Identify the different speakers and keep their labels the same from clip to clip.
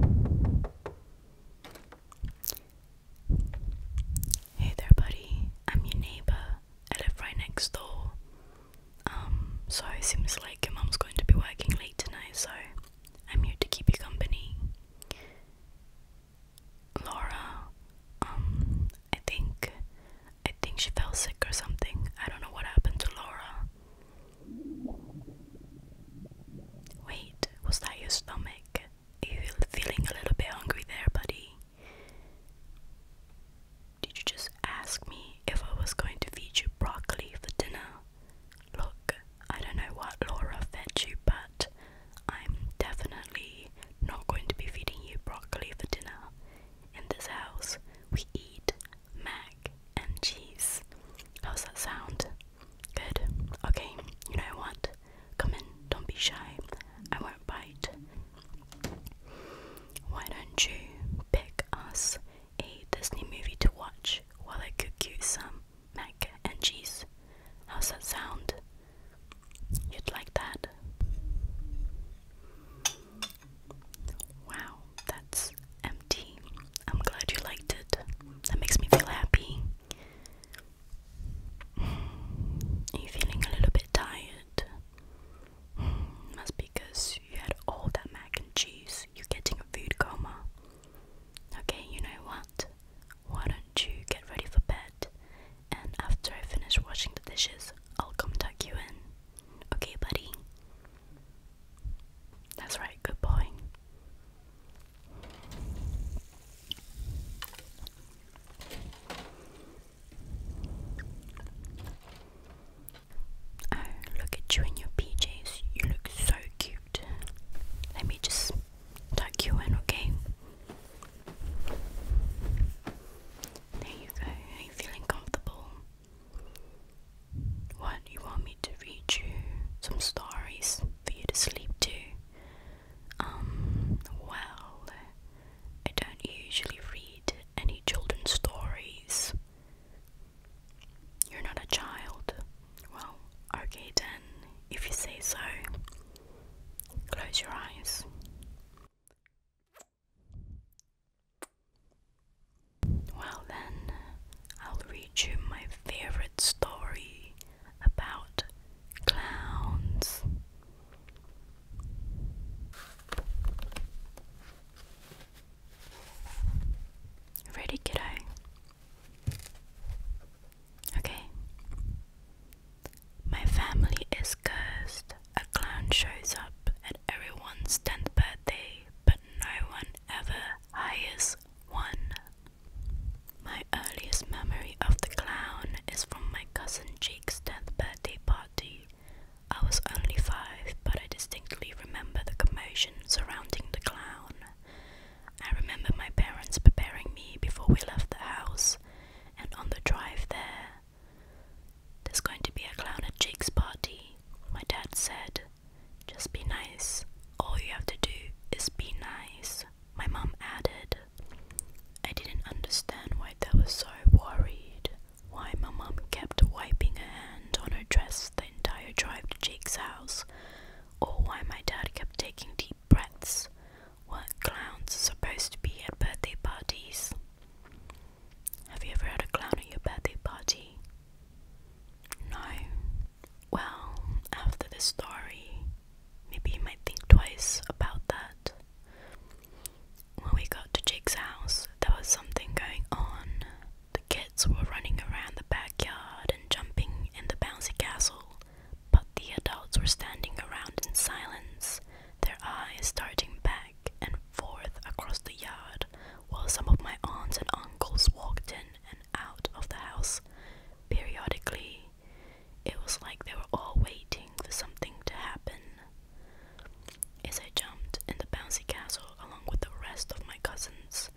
Speaker 1: Hey there, buddy. I'm your neighbour. I live right next door. Um, so it seems like your mom's going to be working late tonight, so I'm here to keep you company. Laura, um, I think I think she fell sick or something. I don't know what happened to Laura. Wait, was that your stomach? you feeling a little bit hungry there, buddy? Did you just ask me if I was going to feed you broccoli for dinner? Look, I don't know what Laura fed you, but I'm definitely not going to be feeding you broccoli for dinner. In this house, we eat mac and cheese. How's that sound? Good. Okay, you know what? Come in, don't be shy. I won't bite. Why don't you pick us a Disney movie to watch while I cook you some mac and cheese? How's that sound? You'd like that? Wow, that's empty. I'm glad you liked it. That makes me feel happy. Are you feeling a little bit tired? That's because you had all that mac and cheese. You're getting a food coma. Okay, you know what? Why don't you get ready for bed? And after I finish washing the dishes, I'll come tuck you in. Okay, buddy? That's right, good boy. Oh, look at you in your PJs. You look so cute. Let me just tuck you in, okay? There you go. Are you feeling comfortable? What, you want me to read you some stories? for you to sleep to. Um, well, I don't usually read any children's stories. You're not a child. Well, okay then, if you say so. Close your eyes. Well then, I'll read you my favorite story about clowns. Ready, kiddo? Okay. My family is cursed. A clown shows up at everyone's 10th birthday, but no one ever hires 1. My earliest memory of the clown is from my cousin Jake's 10th birthday party. I was only five, but I distinctly remember the commotion surrounding the clown. I remember my parents preparing me before we left the house, and on the drive there, there's going to be a clown at Jake's party, my dad said, just be nice. All you have to do is be nice, my mom added. I didn't understand why they were so worried. Why my mom kept wiping her hand on her dress the entire drive to Jake's house, or why my dad kept taking deep breaths. What clowns are supposed to be at birthday parties? Have you ever had a clown at your birthday party? No, well, after this story, maybe you might think twice about that. When we got to Jake's house, there was something going on. The kids were running around the backyard and jumping in the bouncy castle, but the adults were standing around in silence, their eyes darting back and forth across the yard, while some of my aunts and uncles walked in and out of the house periodically. It was like they were all waiting for something to happen. As I jumped in the bouncy castle along with the rest of my cousins,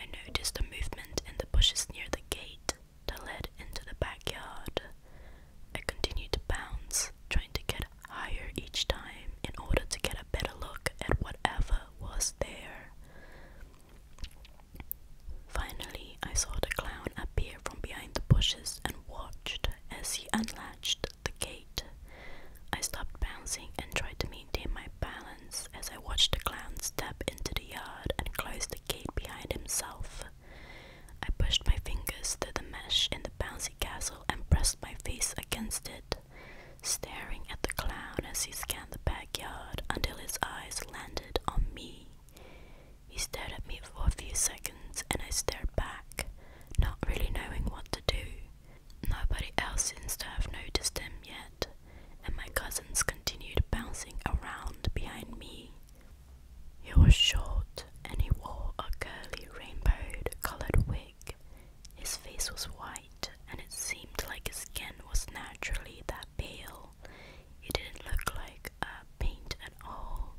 Speaker 1: I noticed a movement in the bushes near the gate that led into the backyard. I continued to bounce, trying to get higher each time in order to get a better look at whatever was there. Finally, I saw the clown appear from behind the bushes and watched as he unlatched the gate. I stopped bouncing and tried to maintain my balance as I watched the clown step into the yard and close the gate behind himself. I pushed my fingers through the mesh in the bouncy castle and pressed my face against it, staring at the clown as he scanned the backyard until his eyes landed on me. He stared at me for a few seconds and I stared back, not really knowing what to do. Nobody else seems to have noticed him yet, and my cousins continued bouncing around behind me. He was short and he wore a curly rainbow colored wig. His face was white and it seemed like his skin was naturally that pale. He didn't look like paint at all.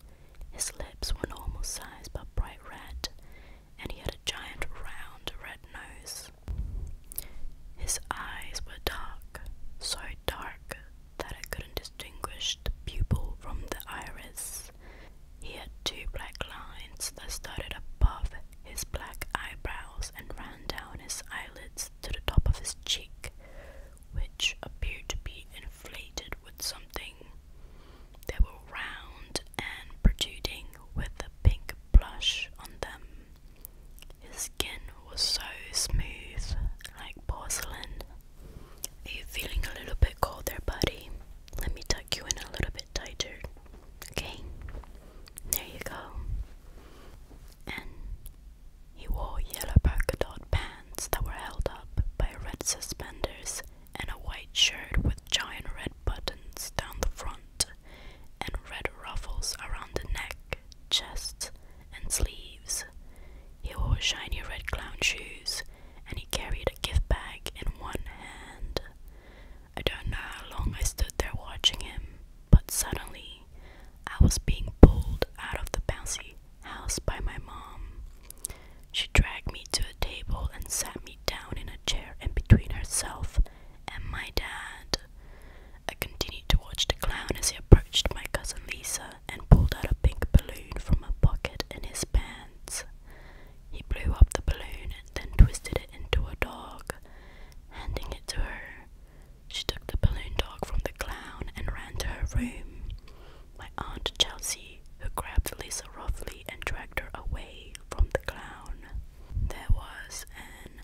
Speaker 1: His lips were normal size but bright red, and he had a giant round red nose. His eyes were dark, so dark that I couldn't distinguish the pupil from the iris. He had two black lines that started above his black eyebrows and ran down his eyelids to the top of his cheek, which appeared to be inflated with something. They were round and protruding with a pink blush on them. His skin was so smooth, like porcelain. Are you feeling a little bit cold there, buddy? Let me tuck you in a little bit tighter. Okay? There you go and he wore yellow polka dot pants that were held up by red suspenders and a white shirt with giant red buttons down the front and red ruffles around the neck, chest, and sleeves. He wore shiny red clown shoes and he carried a gift bag in one hand. I don't know how long I stood there watching him, but suddenly I was being pulled out of the bouncy house by my mom. She dragged me to a table and sat me down in a chair in between herself and my dad. I continued to watch the clown as he approached my cousin Lisa and pulled out a pink balloon from a pocket in his pants. He blew up the balloon and then twisted it into a dog, handing it to her. She took the balloon dog from the clown and ran to her room. My aunt Chelsea, who grabbed Lisa roughly and dragged her away from the clown. There was an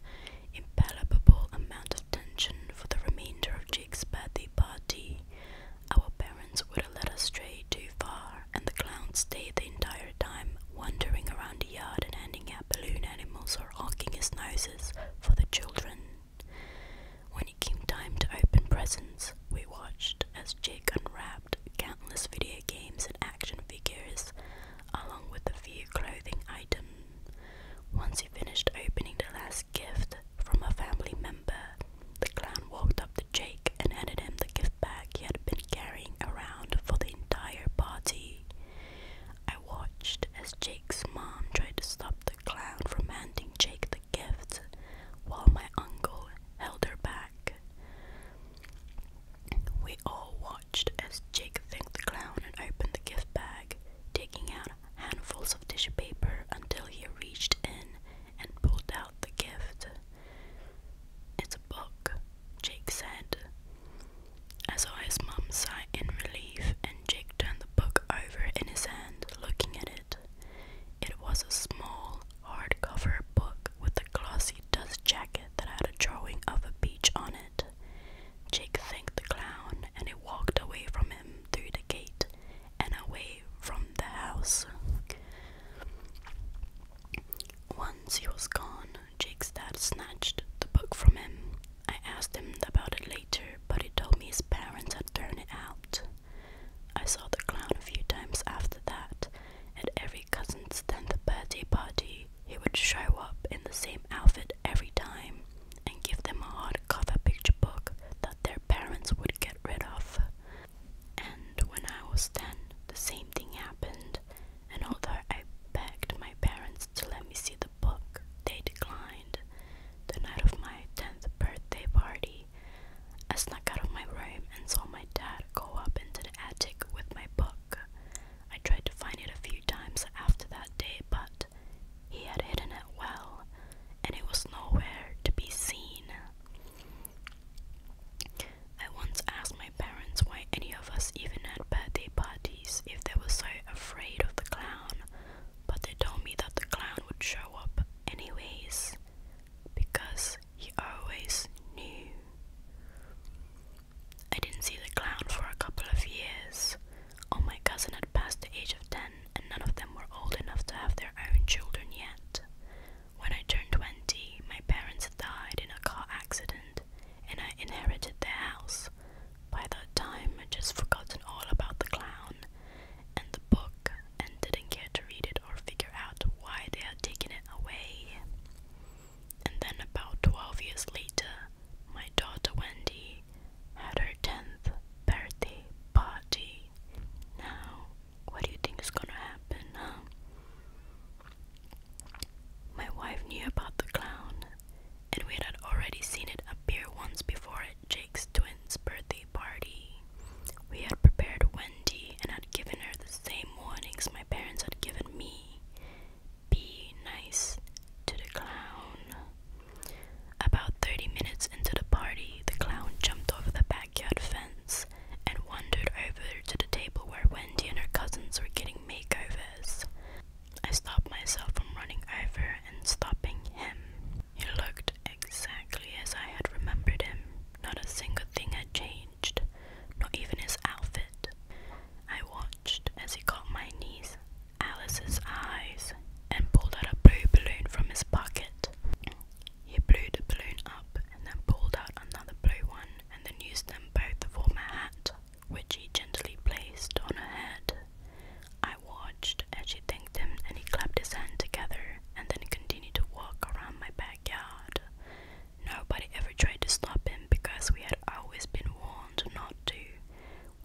Speaker 1: impalpable amount of tension for the remainder of Jake's birthday party. Our parents would have let us stray too far, and the clown stayed the entire time, wandering around the yard and handing out balloon animals or honking his nose for the children. When it came time to open presents, we watched as Jake unwrapped countless video games and action figures, along with a few clothing items. Once he finished opening the last gift from a family member, the clown walked up to Jake and handed him the gift bag he had been carrying around for the entire party watched as Jake's mom tried to stop the clown from handing Jake the gift while my uncle held her back. We all watched as Jake thanked the clown and opened the gift bag, taking out handfuls of tissue paper until he reached in and pulled out the gift. It's a book, Jake said. As I Aya's mum sighed in relief, and Jake turned the book over in his hand, looking at it. It was a small, hardcover book with a glossy dust jacket that had a drawing of a beach on it. Jake thanked the clown, and he walked away from him through the gate and away from the house. Once he was gone, Jake's dad snatched the book from him I asked him about it later, but he told me his parents had thrown it out. I saw the clown a few times after that. At every cousin's 10th birthday party, he would show up in the same outfit every time and give them a hardcover picture book that their parents would get rid of. And when I was 10, the same thing happened, and although I begged my parents to let me see the book, they declined. The night of my 10th birthday party, I snuck out of my room and saw my dad go up into the attic with my book. I tried to find it a few times after that day, but he had hidden it well, and it was nowhere to be seen. I once asked my parents why any of us even had birthday parties if they were so afraid of the clown, but they told me that the clown would show up anyways because he always knew. I didn't see the clown for a couple of years. All my cousin had passed the age of 10 and none of them were old enough to have their own children yet. When I turned 20, my parents died in a car accident and I inherited their house, by that time, I'd just forgotten all about the clown and the book and didn't care to read it or figure out why they had taken it away. And then, about 12 years later, my daughter Wendy had her 10th birthday party. Now, what do you think is gonna happen, My wife knew about the clown and we had already seen it appear once before at Jake's twins' birthday party. We had prepared Wendy and had given her the same warnings my parents had given me be nice to the clown. About 30 minutes into the party, the clown jumped over the backyard fence and wandered over to the table where Wendy and her cousins were getting makeovers. I stopped myself from running over and stopping him. He looked exactly as I had remembered him. Not a single thing had changed, not even his outfit. I watched as he caught my niece, Alice's eyes, and pulled out a blue balloon from his pocket. He blew the balloon up and then pulled out another blue one and then used them both to form a hat which he gently placed on her head. I watched as she thanked him and he clapped his hands together and then continued to walk around my backyard. Nobody ever tried to stop him because we had always been warned not to.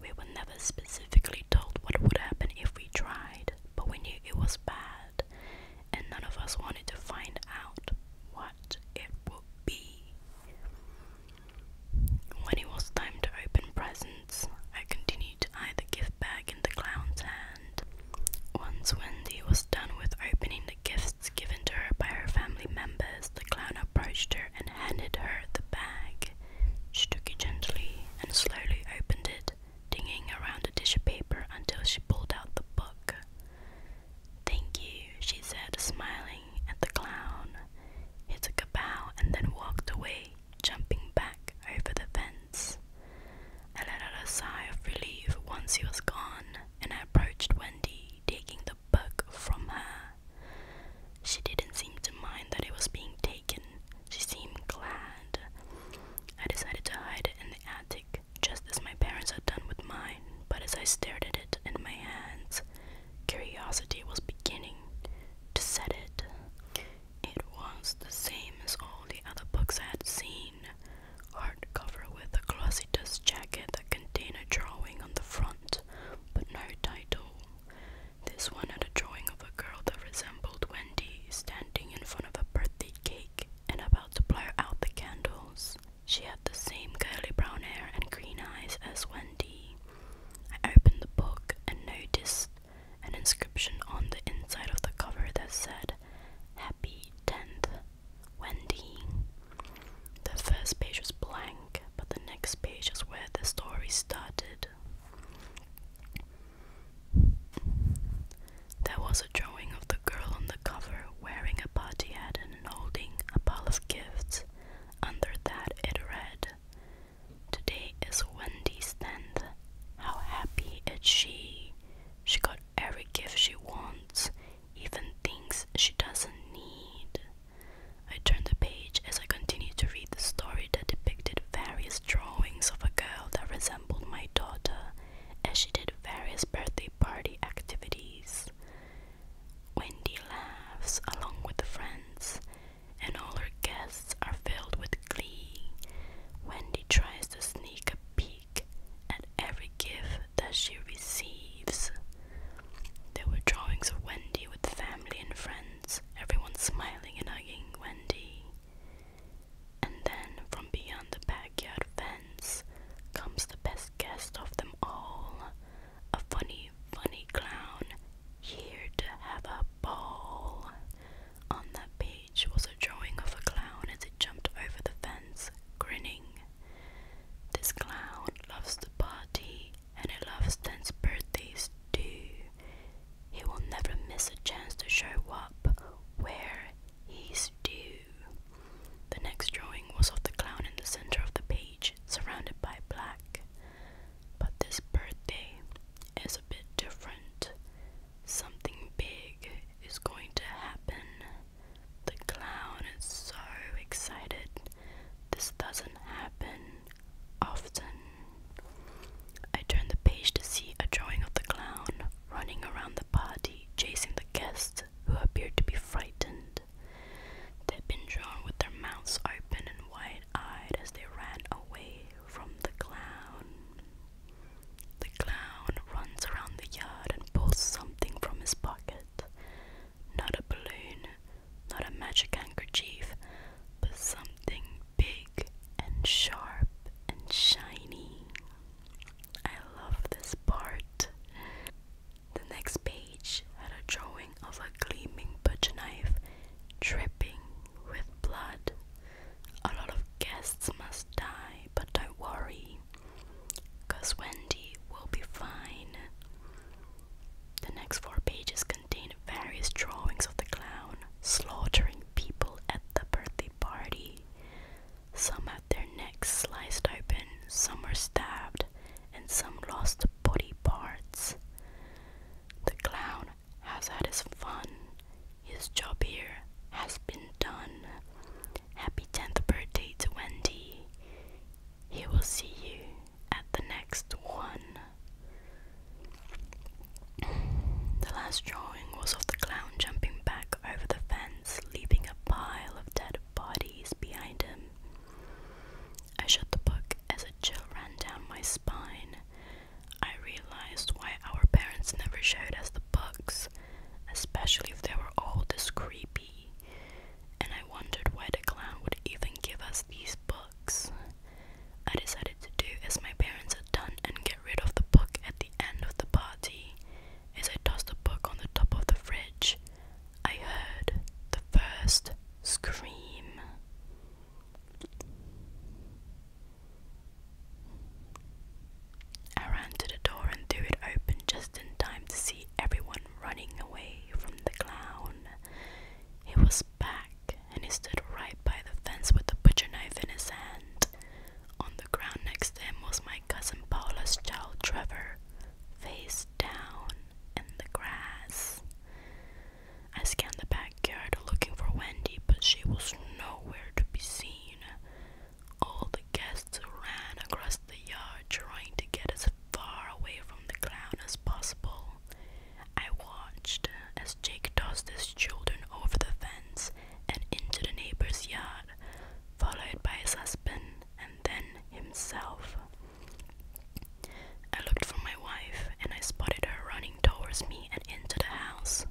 Speaker 1: We were never specifically told what would happen if we tried, but we knew it was bad, and none of us wanted to find out what it would be. When it was time to open presents, I continued to hide the gift bag in the clown's hand. Once Wendy was done with opening the gifts given to her by her family members, the clown approached her and handed her the bag. She took it gently and slowly opened it, dinging around the tissue paper until she pulled out the book. Thank you, she said, smiling at the clown. He took a bow and then walked away, jumping back over the fence. I let out a sigh of relief once he was gone, and I approached Wendy, taking the book from her. She didn't seem to mind that it was being taken, she seemed glad. I decided to hide it in the attic, just as my parents had done with mine, but as I stared at it in my hands, Curiosity was beginning to set it. It was the same as all the other books I had seen cover with a glossy dust jacket that contained a drawing on the front, but no title. This one had a drawing of a girl that resembled Wendy standing in front of a birthday cake and about to blow out the candles. She had the same curly brown hair and green eyes as Wendy. I opened the book and noticed an inscription on the inside of the cover that said, Happy 10th, Wendy. The first page was blank, but the next page is where the story started. There was a drawing of the girl on the cover wearing a party hat and holding a pile of gifts. Under that, it read, Today is Wendy's tenth. How happy is she? She got every gift she wants, even things she doesn't need. I turned the page as I continued to read the story that depicted various drawings of a girl that resembled my daughter as she did various birthday party activities. Wendy laughs along with the friends and all her guests are filled with glee. Wendy tries to sneak a peek at every gift that she receives. There were drawings of Wendy with family and friends, everyone smiling and hugging Wendy. And then from beyond the backyard fence comes the best guest of them all a funny funny, clown, here to have a ball. On that page was a drawing of a clown as it jumped over the fence, grinning. This clown loves to party, and he loves dance birthdays too. He will never miss a chance to show up where he's due. The next drawing was of the clown in the center of the page, surrounded by black. But this birthday is a bit different. Something big is going to happen. The clown is so excited. This doesn't happen often. I turn the page to see a drawing of the clown running around the party, chasing the guests who appeared to be frightened. They've been drawn with their mouths open and wide wide as they ran away from the clown. The clown runs around the yard and pulls something from his pocket. Not a balloon, not a magic handkerchief, but something big and sharp and shiny. I love this part. The next page had a drawing of a gleaming butcher knife dripping with blood. A lot of guests must die, but don't worry, because Wendy will be fine. The next four pages contain various drawings of the clown slaughtering people at the birthday party. Some have their necks sliced open, some are stabbed, and some lost body parts. The clown has had his fun, his job here has been done. Happy 10th birthday to Wendy. He will see you at the next one. The last drawing was of the clown jumping back over the fence, leaving a pile of dead bodies behind him. I shut the book as a chill ran down my spine. I realized why our parents never showed us the books, especially if they were all this creepy, and I wondered why the clown would even give us these books. I decided to do as my parents had done and get rid of the book at the end of the party. As I tossed the book on the top of the fridge, I heard the first scream. I ran to the door and threw it open just in time to see everyone running away from the clown. He was back, and he stood right by the fence with a butcher knife in his hand. On the ground next to him was my cousin Paula's child Trevor, face down in the grass. I scanned the backyard looking for Wendy, but she was nowhere to be seen. All the guests ran across the yard trying to get as far away from the clown as possible. I watched as Jake tossed his children over the fence and into the neighbor's yard, followed by his husband and then himself. I looked for my wife and I spotted her running towards me and into the house.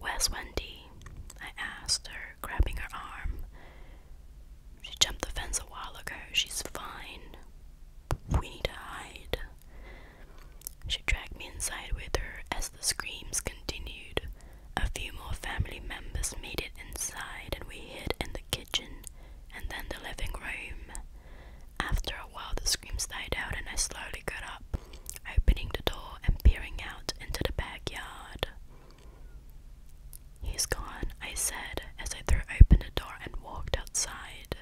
Speaker 1: Where's Wendy? I asked her, grabbing her arm. She jumped the fence a while ago. She's fine. We need to hide. She dragged me inside with her as the screams continued. A few more family members made it inside and we hid in the kitchen and then the living room. After a while, the screams died out, and I slowly got up, opening the door and peering out into the backyard. He's gone, I said as I threw open the door and walked outside.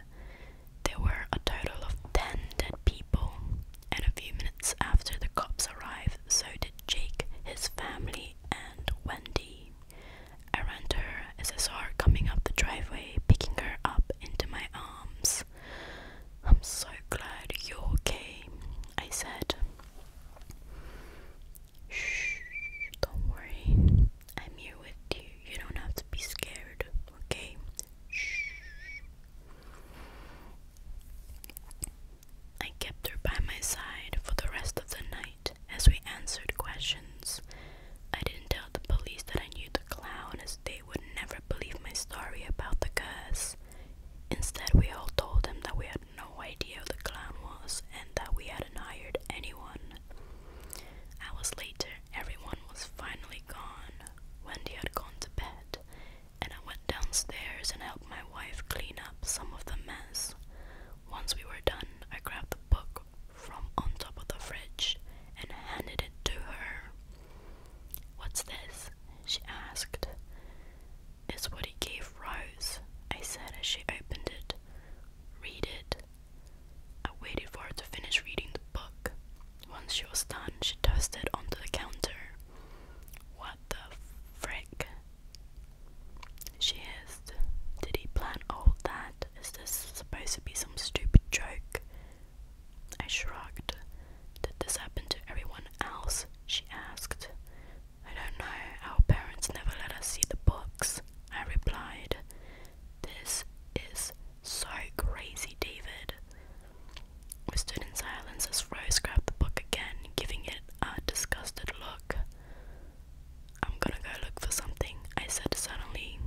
Speaker 1: There were a total of 10 dead people, and a few minutes after the cops arrived, so did Jake, his family, and Wendy. Around her is a coming up the driveway, picking her up into my arms. I'm so glad you're okay, I said. Shh, don't worry. I'm here with you. You don't have to be scared, okay? Shh. I kept her by my side for the rest of the night as we answered questions I didn't tell the police that I knew the clown as they would never believe my story about the curse. Instead, we all told them that we had no idea who the clown was and that we hadn't hired anyone. Hours later, everyone was finally gone. Wendy had gone to bed, and I went downstairs and helped my wife clean up some of the mess. Once we were done, I grabbed the book from on top of the fridge and handed it to her. What's this? she asked. It's what he gave Rose, I said as she opened it. Read it. I waited for her to finish reading the book. Once she was done, she tossed it onto the counter. What the frick? She hissed. Did he plan all that? Is this supposed to be some stupid joke? I shrugged. Did this happen to everyone else? She asked. I don't know. Our parents never let us see the books, I replied. This is so crazy, David. We stood in silence as Rose grabbed the book again, giving it a disgusted look. I'm gonna go look for something, I said suddenly.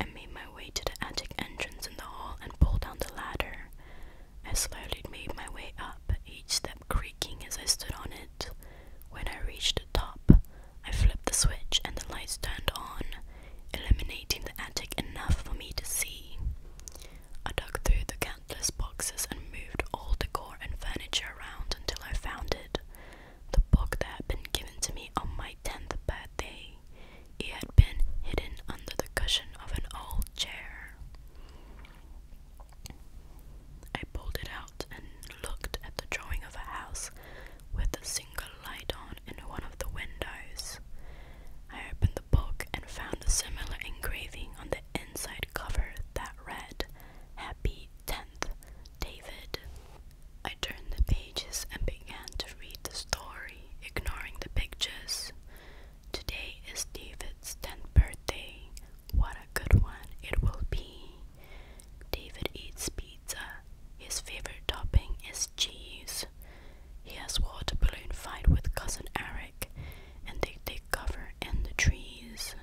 Speaker 1: I made my way to the attic entrance in the hall and pulled down the ladder. I slowly made my way up, each step creaking as I stood on it. When I reached the top, I flipped the switch and the lights turned on, illuminating the attic enough for me to see. I dug through the countless boxes and moved all the decor and furniture around until I found it the book that had been given to me on my tenth birthday. It had been hidden under the cushion of an old chair. I pulled it out and looked at the drawing of a house with a single light on in one of the windows. I opened the book and found a similar engraving on the inside cover that read, Happy 10th, David. I turned the pages and began to read the story, ignoring the pictures. Today is David's 10th birthday. What a good one it will be. David eats pizza. His favorite topping is cheese. He has water balloon fight with cousin Eric and they take cover in the trees.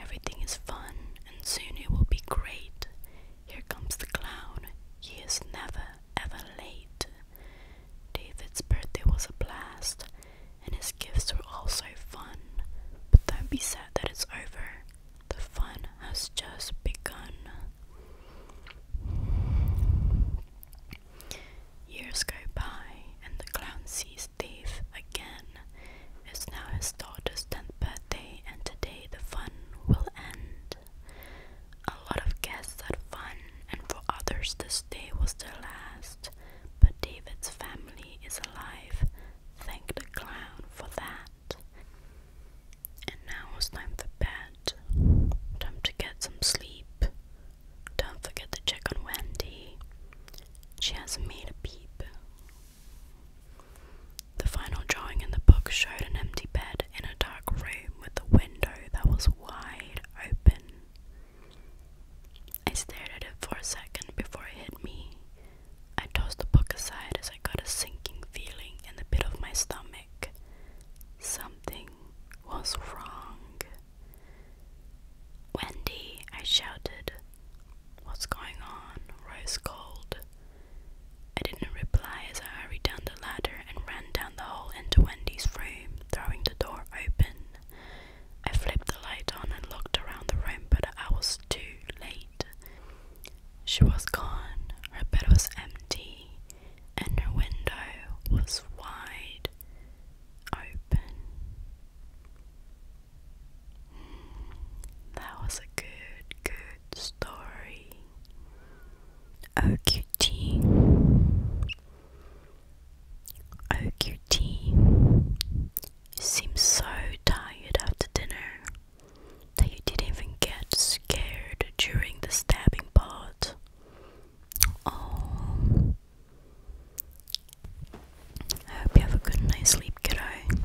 Speaker 1: Everything is fun and soon it will be great. Here comes the clown. He is never, ever late. David's birthday was a blast, and his gifts were all so fun. But don't be sad that it's over. The fun has just begun. Years go by, and the clown sees Dave again. It's now his daughter's 10th birthday, and today the fun will end. A lot of guests had fun, and for others, this day was their last. But David's family is alive. Thank the clown for that. And now it's time for bed. Time to get some sleep. Don't forget to check on Wendy. She hasn't made a peep. The final drawing in the book showed an empty bed in a dark room with a window that was wide open. I stared at it for a second before it hit me. I tossed the book aside as I got a sinking feeling in the pit of my stomach. Something was wrong. Wendy, I shouted. What's going on? Rose called. I didn't reply as I hurried down the ladder and ran down the hall into Wendy's room, throwing the door open. I flipped the light on and looked around the room, but I was too late. She was gone, her bed was empty, and her window was wide open. Hmm, that was a good, good short story. Oh cutie, oh cutie, you seem so tired after dinner that you didn't even get scared during the stabbing part. Oh, I hope you have a good night's sleep, kiddo.